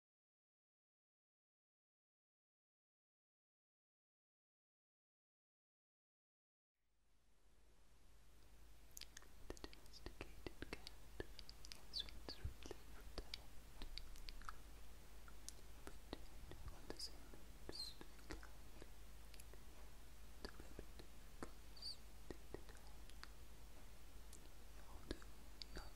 The domesticated cat swims swiftly from the head, but on the same moves to the cat. The rabbit goes to the dog, although not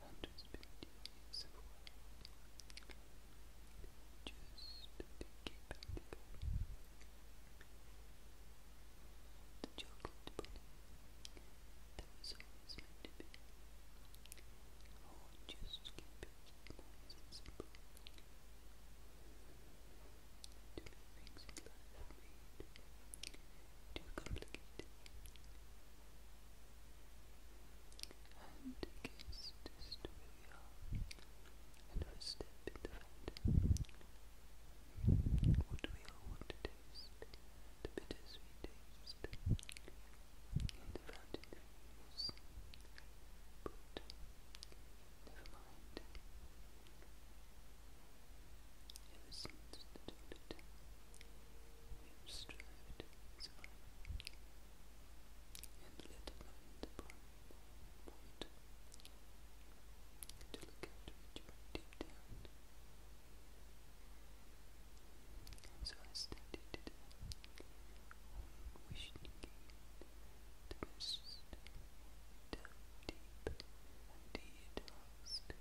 hundreds of Indian civil war. keep back together. The chocolate bunny that was always meant to just keep it simple. To make things in life too complicated. do we all want to taste? The bittersweet taste. And the fountain feels. But never mind. Ever since the dawn of time, which strived and let alone the to look after each other deep down. So I studied it the best down deep and indeed lost.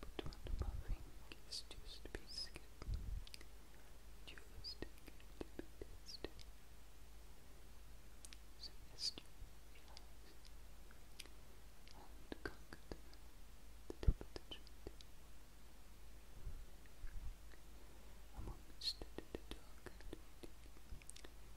But one of my fingers just bit scared. Just a little bit scared. So as you relax and conquer the, the top of the tree. I'm almost at the dark and waiting.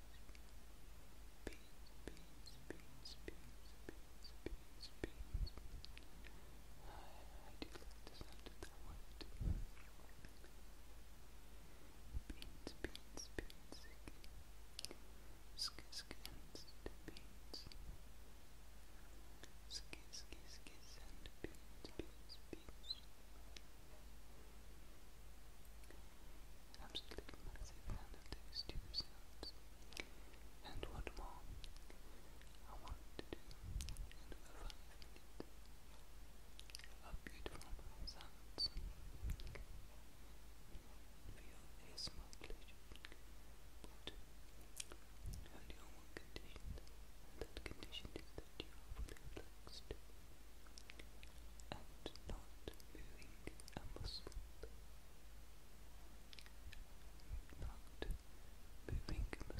I do like the sound of that word. Beans, beans, beans. Sk sk and beans. Sk sk sk and beans, beans, beans absolutely massive fan of those sounds. And what more I want to do in over five beautiful sounds for your ASMR pleasure, but only on one condition, and that condition is that you are fully relaxed and not doing a Not moving a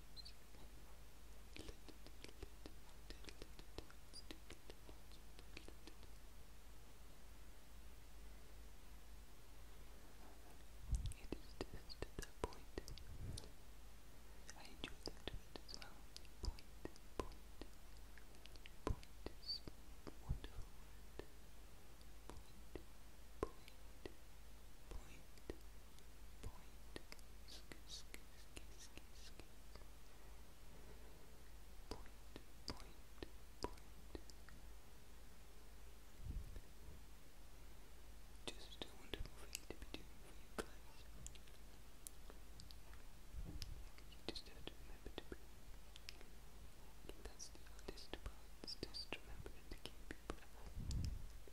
it is just at that point. I enjoyed that bit as well. Point, point, point is a wonderful word. Point, point, point. Point. Just a wonderful to be doing you just to remember to breathe. And that's the hardest part, is just remembering to keep your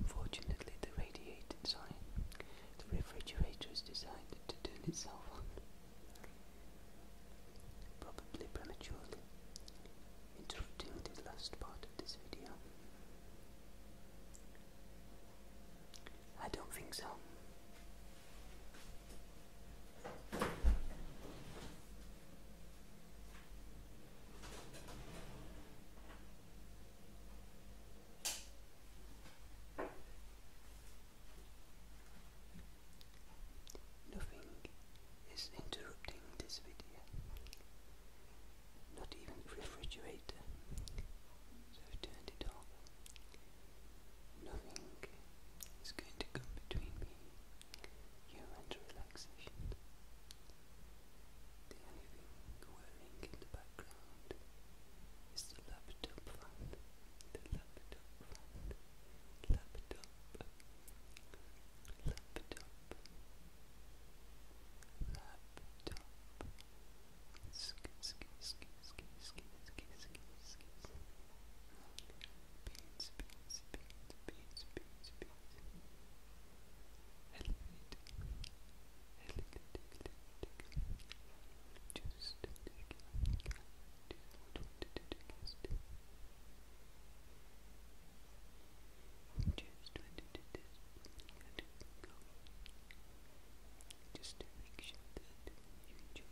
Unfortunately, the radiator sign, the refrigerator has decided to turn itself on, probably prematurely, interrupting the last part of this video. I don't think so. Nothing is interrupting this video, not even the refrigerator. So I've turned it off. Nothing is going to come between me, you and relaxation. The only whirring in the background is the laptop the laptop fan, laptop, laptop, laptop. Skis, skis, skis, skis, skis, skis, skis, skis beans, beans, beans, beans, beans, beans. Elevate, elevate, elevate. Just take it. Just want to just wanted to just, just to make sure that you enjoy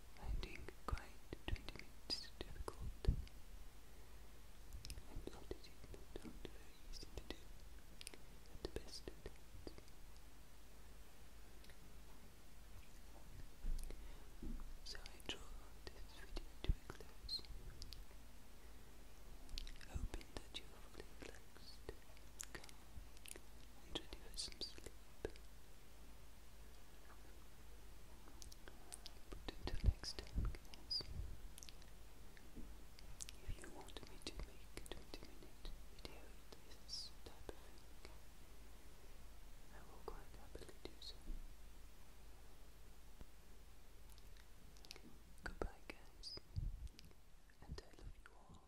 finding quite 20 minutes difficult, and that is not very easy to do the best of times. draw this video to close, hoping that you are relaxed, calm, and ready some sleep. But until next time, guys, if you want me to make a 20 minute video of this I will quite do so. Goodbye, guys, and I love you all.